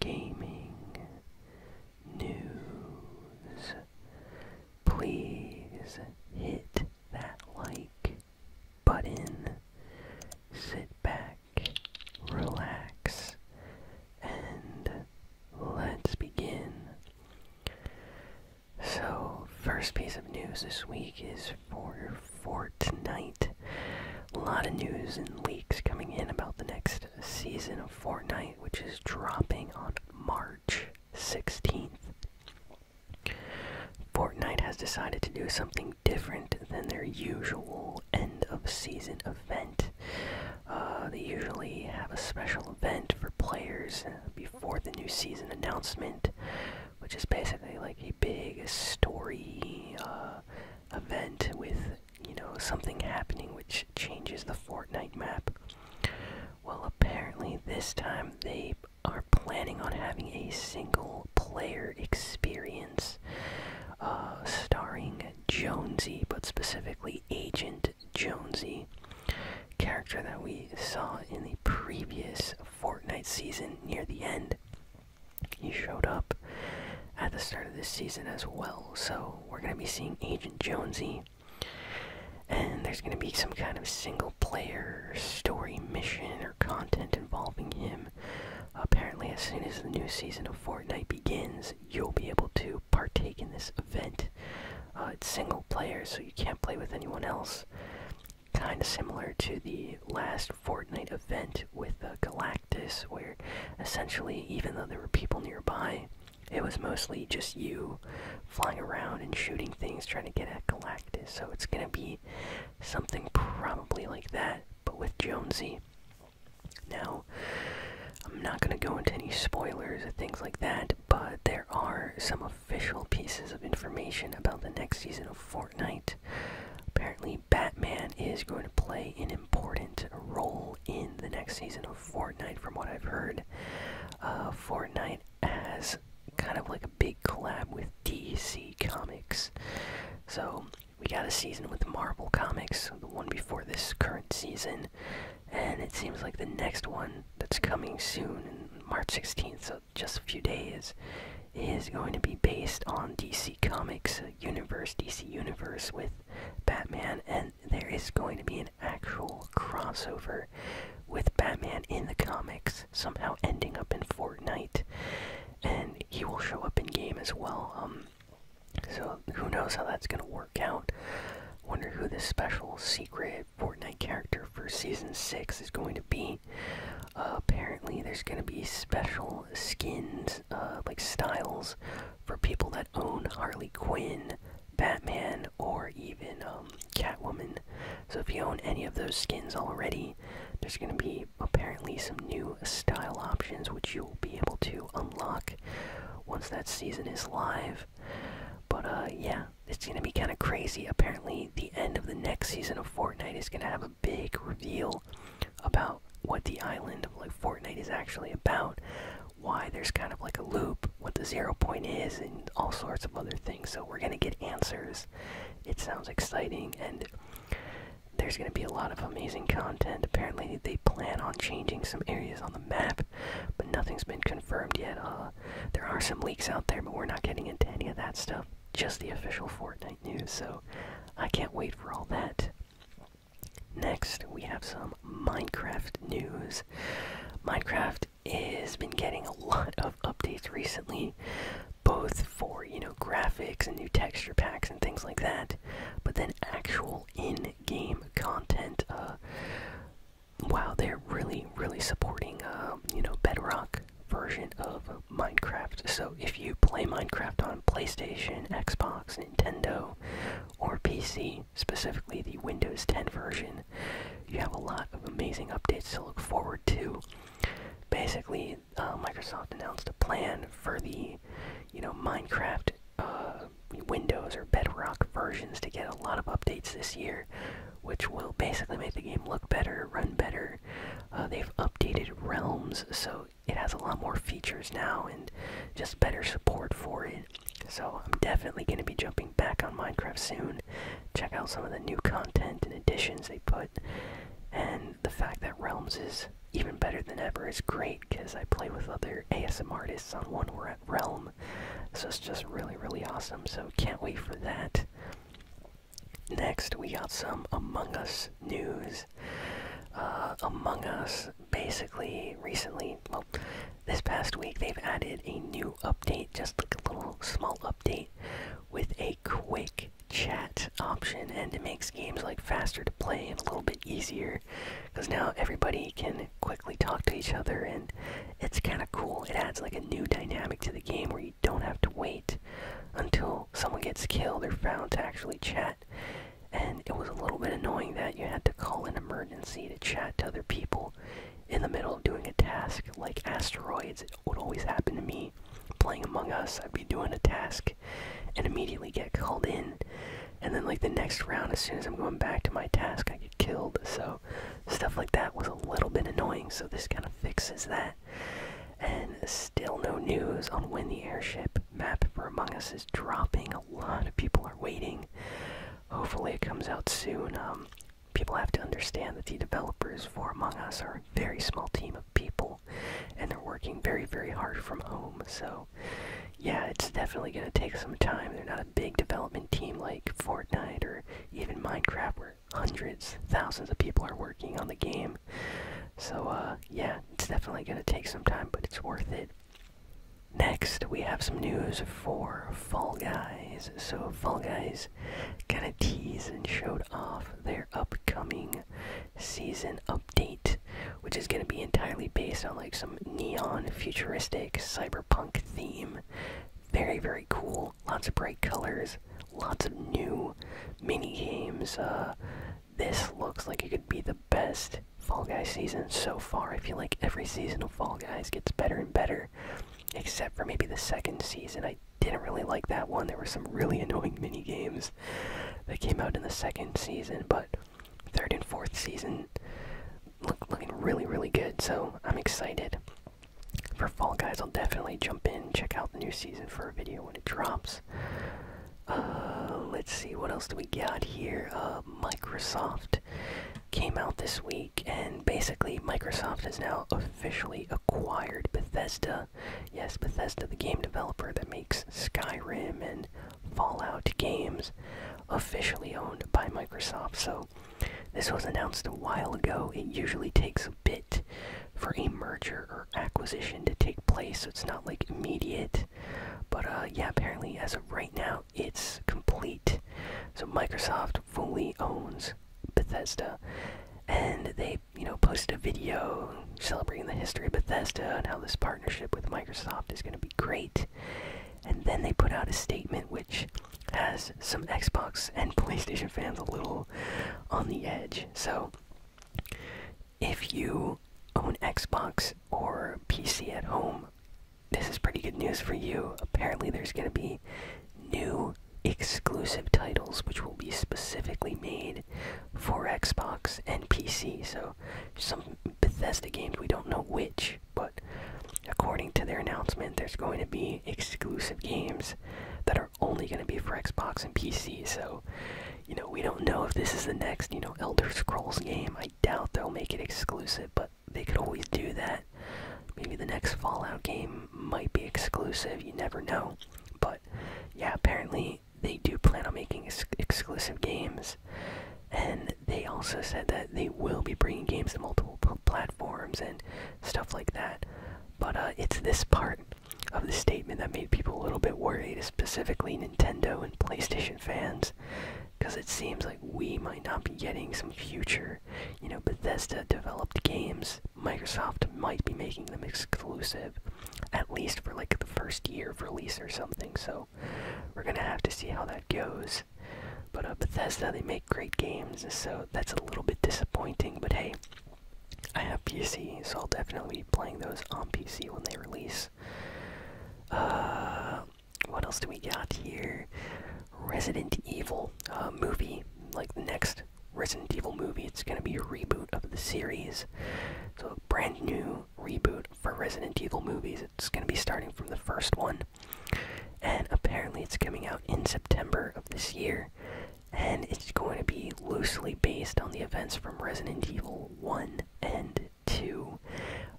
gaming news. Please hit that like button. Sit back, relax, and let's begin. So, first piece of news this week is for Fortnite a lot of news and leaks coming in about the next season of Fortnite, which is dropping on March 16th. Fortnite has decided to do something different than their usual end of season event. Uh, they usually have a special event for players before the new season announcement, which is basically like a big story uh, event with you know, something happening which changes the Fortnite map. Well, apparently, this time they are planning on having a single player experience uh, starring Jonesy, but specifically Agent Jonesy, character that we saw in the previous Fortnite season near the end. He showed up at the start of this season as well, so we're going to be seeing Agent Jonesy. And there's going to be some kind of single player story mission or content involving him. Apparently, as soon as the new season of Fortnite begins, you'll be able to partake in this event. Uh, it's single player, so you can't play with anyone else. Kind of similar to the last Fortnite event with the uh, Galactus. This where essentially, even though there were people nearby, it was mostly just you flying around and shooting things trying to get at Galactus. So it's going to be something probably like that, but with Jonesy. Now, I'm not going to go into any spoilers or things like that, but there are some official pieces of information about the next season of Fortnite. Apparently, Batman is going to play an important role in the next season of Fortnite, from what I've heard. Uh, Fortnite has kind of like a big collab with DC Comics. So we got a season with Marvel Comics, the one before this current season, and it seems like the next one that's coming soon, March 16th, so just a few days, is going to be based on DC Comics uh, universe, DC universe with Batman, and there is going to be an actual crossover with Batman in the comics, somehow ending up in Fortnite, and he will show up in game as well. Um, so who knows how that's gonna work out? Wonder who this special secret Fortnite character for season six is going to be. Uh, apparently, there's going to be special skins, uh, like styles, for people that own Harley Quinn, Batman, or even um, Catwoman. So, if you own any of those skins already, there's going to be apparently some new style options which you'll be able to unlock once that season is live. But, uh, yeah, it's going to be kind of crazy. Apparently, the end of the next season of Fortnite is going to have big reveal about what the island of like Fortnite is actually about, why there's kind of like a loop, what the zero point is, and all sorts of other things. So we're gonna get answers. It sounds exciting, and there's gonna be a lot of amazing content. Apparently, they plan on changing some areas on the map, but nothing's been confirmed yet. Uh, there are some leaks out there, but we're not getting into any of that stuff just the official Fortnite news, so I can't wait for all that. Next, we have some Minecraft news. Minecraft has been getting a lot of updates recently, both for, you know, graphics and new texture packs and things like that, but then actual in-game content. Uh, wow, they're really, really supporting, uh, you know, Bedrock version of Minecraft. So if you play Minecraft on PlayStation, Xbox, Nintendo, or PC, specifically the Windows 10 version, you have a lot of amazing updates to look forward to. Basically, uh, Microsoft announced a plan for the, you know, Minecraft uh, Windows or Bedrock versions to get a lot of updates this year, which will basically make the game look better, run better. Uh, they've updated Realms, so it has a lot more features now and just better support for it. So I'm definitely going to be jumping back on Minecraft soon. Check out some of the new content and additions they put. And the fact that Realms is even better than ever is great because I play with other ASM artists on one world Realm. So it's just really, really awesome. So can't wait for that. Next, we got some Among Us news. Uh, Among Us basically recently, well, this past week, they've added a new update, just like a little small update, with a quick chat option, and it makes games like faster to play and a little bit easier because now everybody can quickly talk to each other and it's kind of cool. It adds like a new dynamic to the game where you don't have to wait until someone gets killed or found to actually chat. And it was a little bit annoying that you had to call an emergency to chat to other people in the middle of doing a task like asteroids. It would always happen to me playing Among Us. I'd be doing a task and immediately get called in. And then, like, the next round, as soon as I'm going back to my task, I get killed. So stuff like that was a little bit annoying so this kind of fixes that and still no news on when the airship map for among us is dropping a lot of people are waiting hopefully it comes out soon um, people have to understand that the developers for among us are a very small team of people and they're working very very hard from home so yeah it's definitely going to take some time they're not a big development team like fortnite or even minecraft where hundreds, thousands of people are working on the game. So, uh, yeah, it's definitely going to take some time, but it's worth it. Next, we have some news for Fall Guys. So, Fall Guys kind of teased and showed off their upcoming season update, which is going to be entirely based on like some neon, futuristic, cyberpunk theme. Very, very cool. Lots of bright colors, lots of new mini games. Uh, this looks like it could be the best Fall Guys season so far. I feel like every season of Fall Guys gets better and better, except for maybe the second season. I didn't really like that one. There were some really annoying mini games that came out in the second season, but third and fourth season look looking really really good. So I'm excited. For Fall Guys, I'll definitely jump in, check out the new season for a video when it drops. Uh, let's see, what else do we got here? Uh, Microsoft came out this week, and basically, Microsoft has now officially acquired Bethesda. Yes, Bethesda, the game developer that makes Skyrim and Fallout games, officially owned by Microsoft. So, this was announced a while ago. It usually takes a bit for a merger or acquisition to take place, so it's not like immediate. But uh, yeah, apparently, as of right now, it's complete. So, Microsoft fully owns Bethesda. And they, you know, posted a video celebrating the history of Bethesda and how this partnership with Microsoft is going to be great. And then they put out a statement which has some Xbox and PlayStation fans a little on the edge. So, if you own Xbox or PC at home, this is pretty good news for you. Apparently, there's going to be new exclusive titles which will be specifically made for Xbox and PC. So, some Bethesda games, we don't know which, but according to their announcement, there's going to be exclusive games that are only going to be for Xbox and PC. So, you know, we don't know if this is the next, you know, Elder Scrolls game. I doubt they'll make it exclusive, but they could always do that. Maybe the next Fallout game might be exclusive. You never know. But yeah, apparently they do plan on making exclusive games and they also said that they will be bringing games to multiple platforms and stuff like that. But uh, it's this part of the statement that made people a little bit worried, specifically Nintendo and PlayStation fans, because it seems like we might not be getting some future, you know, Bethesda-developed games. Microsoft might be making them exclusive, at least for like the first year of release or something. So we're gonna have to see how that goes. But uh, Bethesda, they make great games, so that's a little bit disappointing. But hey, I have PC, so I'll definitely be playing those on PC when they release. Uh, what else do we got here? Resident Evil uh, movie, like the next Resident Evil movie. It's gonna be a reboot of the series, so brand new reboot for Resident Evil movies. It's going to be starting from the first one. And apparently, it's coming out in September of this year. And it's going to be loosely based on the events from Resident Evil 1 and 2.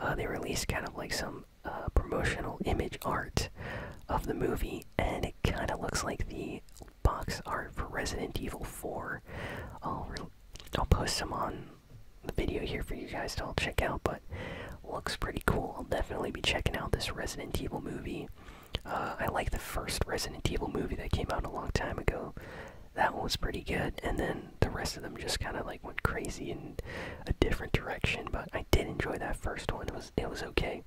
Uh, they released kind of like some uh, promotional image art of the movie, and it kind of looks like the box art for Resident Evil 4. I'll, I'll post some on the video here for you guys to all check out, but looks pretty cool. I'll definitely be checking out this Resident Evil movie. Uh, I like the first Resident Evil movie that came out a long time ago. That one was pretty good, and then the rest of them just kind of like went crazy in a different direction. But I did enjoy that first one. It was it was okay.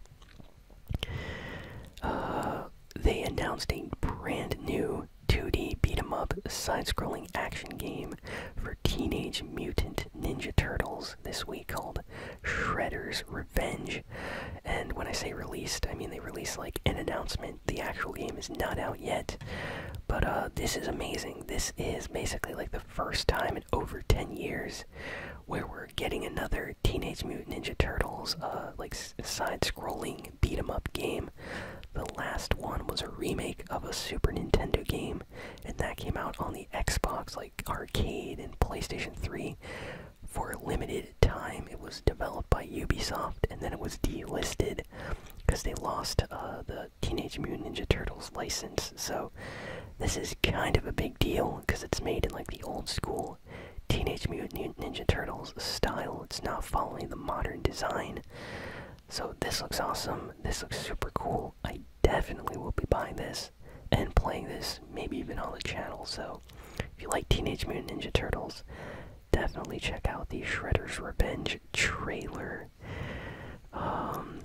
Uh, they announced a brand new 2D beat 'em up side-scrolling action game for Teenage Mutant Ninja Turtles this week called Shredder's Revenge. And when I say released, I mean they released like an announcement. The actual game is not out yet, but uh, this is amazing. This is basically like the first time in over 10 years where we're getting another Teenage Mutant Ninja Turtles uh, like side-scrolling beat 'em up game. The last one was a remake of a Super Nintendo game, and that came out on the Xbox, like Arcade and PlayStation 3. For a limited time, it was developed by Ubisoft, and then it was delisted because they lost uh, the Teenage Mutant Ninja Turtles license. So, this is kind of a big deal because it's made in like the old school Teenage Mutant Ninja Turtles style. It's not following the modern design. So this looks awesome. This looks super cool. I definitely will be buying this and playing this, maybe even on the channel. So if you like Teenage Mutant Ninja Turtles, definitely check out the Shredder's Revenge trailer. Um,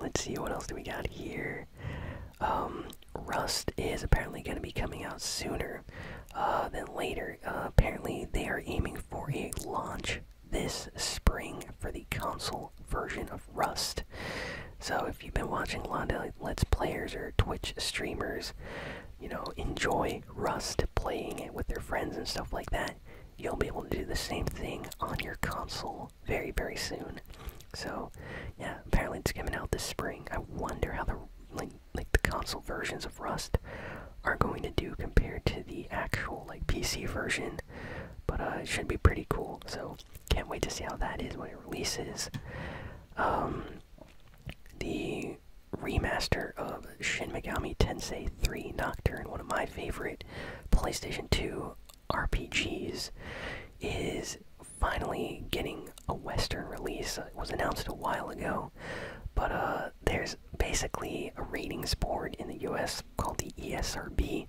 let's see what else do we got here. Um, Rust is apparently going to be coming out sooner. Uh, then later, uh, apparently, they are aiming for a launch this spring for the console version of Rust. So, if you've been watching a lot of Let's Players or Twitch streamers, you know, enjoy Rust playing it with their friends and stuff like that, you'll be able to do the same thing on your console very, very soon. So, yeah, apparently it's coming out this spring. I wonder how the like like the console versions of Rust are going to do compared to the actual like PC version. But uh, it should be pretty cool. So can't wait to see how that is when it releases. Um, the remaster of Shin Megami Tensei 3 Nocturne, one of my favorite PlayStation 2 RPGs, is finally getting a Western release. It was announced a while ago, but uh, there's basically a ratings board in the US called the ESRB.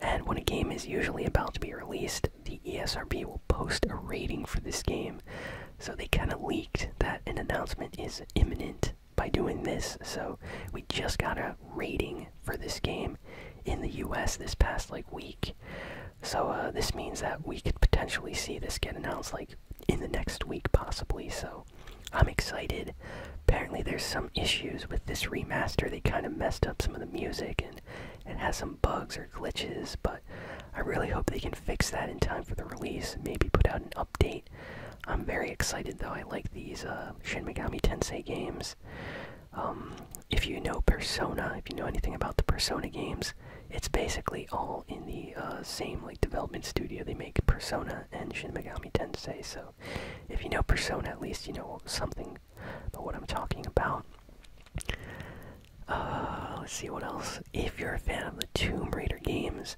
And when a game is usually about to be released, the ESRB will post a rating for this game. So they kind of leaked that an announcement is imminent by doing this. So we just got a rating for this game in the US this past like week. So uh, this means that we could potentially see this get announced like in the next week, possibly. So I'm excited. Apparently, there's some issues with this remaster. They kind of messed up some of the music and it has some bugs or glitches, but I really hope they can fix that in time for the release and maybe put out an update. I'm very excited though. I like these uh, Shin Megami Tensei games. Um, if you know Persona, if you know anything about the Persona games, it's basically all in the uh, same like development studio. They make Persona and Shin Megami Tensei. So if you know Persona, at least you know something about what I'm talking about. Uh, let's see what else. If you're a fan of the Tomb Raider games,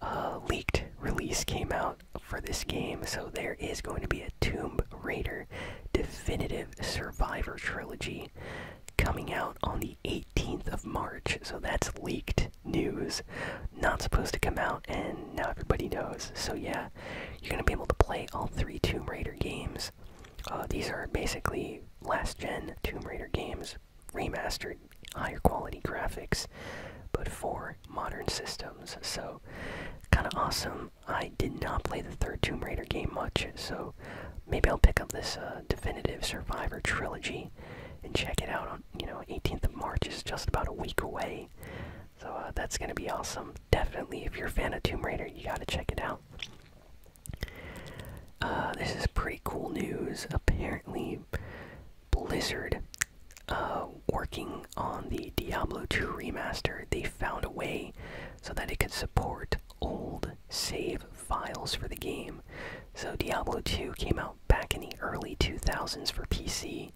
uh, leaked release came out for this game, so there is going to be a Tomb Raider definitive Survivor trilogy coming out on the 18th of March. So that's leaked news. Not supposed to come out, and now everybody knows. So yeah, you're going to be able to play all three Tomb Raider games. Uh, these are basically last gen Tomb Raider games, remastered, higher quality graphics, but for modern systems. So, kind of awesome. I did not play the third Tomb Raider game much, so maybe I'll pick up this uh, definitive Survivor trilogy and check it out on you know 18th of March is just about a week away. So uh, that's gonna be awesome. Definitely, if you're a fan of Tomb Raider, you gotta check it out. Uh, this is pretty cool news. Apparently, Blizzard, working on the Diablo 2 remaster, they found a way so that it could support old save files for the game. So Diablo 2 came out back in the early 2000s for PC,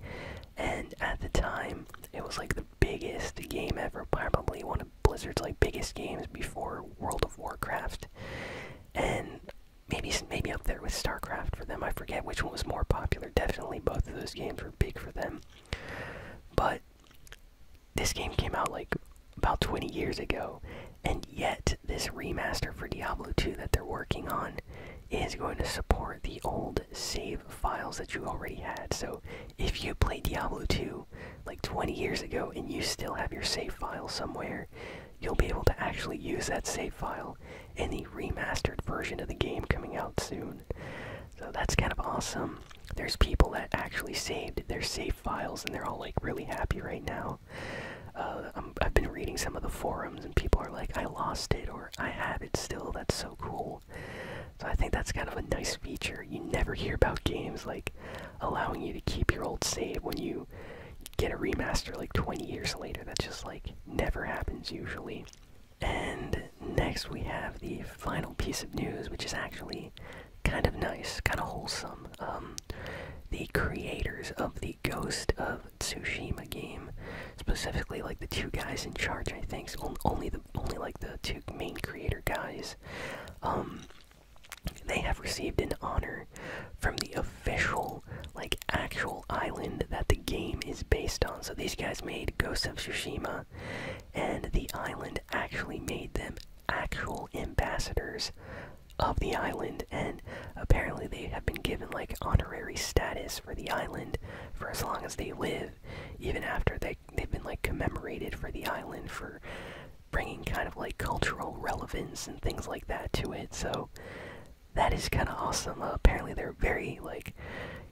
and at the time, it was like the biggest game ever, probably one of Blizzard's like biggest games before World of Warcraft, and maybe maybe up there with StarCraft for them. I forget which one was more popular. Definitely both of those games were big for them, but this game came out like about 20 years ago, and yet this remaster for Diablo 2 that they're working on is going to support the old save files that you already had. So if you played Diablo 2 like 20 years ago and you still have your save file somewhere, you'll be able to actually use that save file in the remastered version of the game coming out soon. So that's kind of awesome there's people that actually saved their save files, and they're all like really happy right now. Uh, I've been reading some of the forums, and people are like, "I lost it," or "I have it still." That's so cool. So I think that's kind of a nice feature. You never hear about games like allowing you to keep your old save when you get a remaster like 20 years later. That just like never happens usually. And next we have the final piece of news, which is actually kind of nice, kind of wholesome. Um, the creators of the Ghost of Tsushima game, specifically like the two guys in charge, I think, so only the only like the two main creator guys. Um, they have received an honor from the official, like actual island that the game is based on. So these guys made Ghost of Tsushima and the island actually made them actual ambassadors of the island, and apparently they have been given like honorary status for the island for as long as they live, even after they they've been like commemorated for the island for bringing kind of like cultural relevance and things like that to it. So that is kind of awesome. Uh, apparently they're very like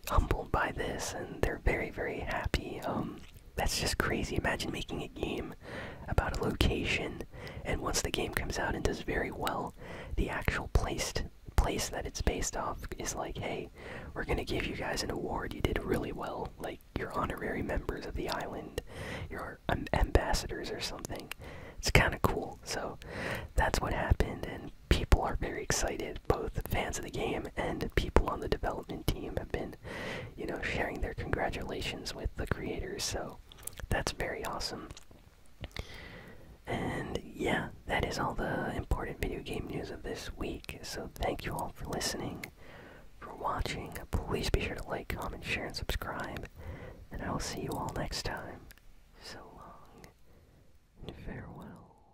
humbled by this, and they're very very happy. Um, that's just crazy. Imagine making a game about a location, and once the game comes out and does very well, the actual placed place that it's based off is like, hey, we're gonna give you guys an award. You did really well. Like you're honorary members of the island, you're ambassadors or something. It's kind of cool. So that's what happened, and people are very excited, both fans of the game and people on the development team have been you know sharing their congratulations with the creators so that's very awesome and yeah that is all the important video game news of this week so thank you all for listening for watching please be sure to like comment share and subscribe and i will see you all next time so long and farewell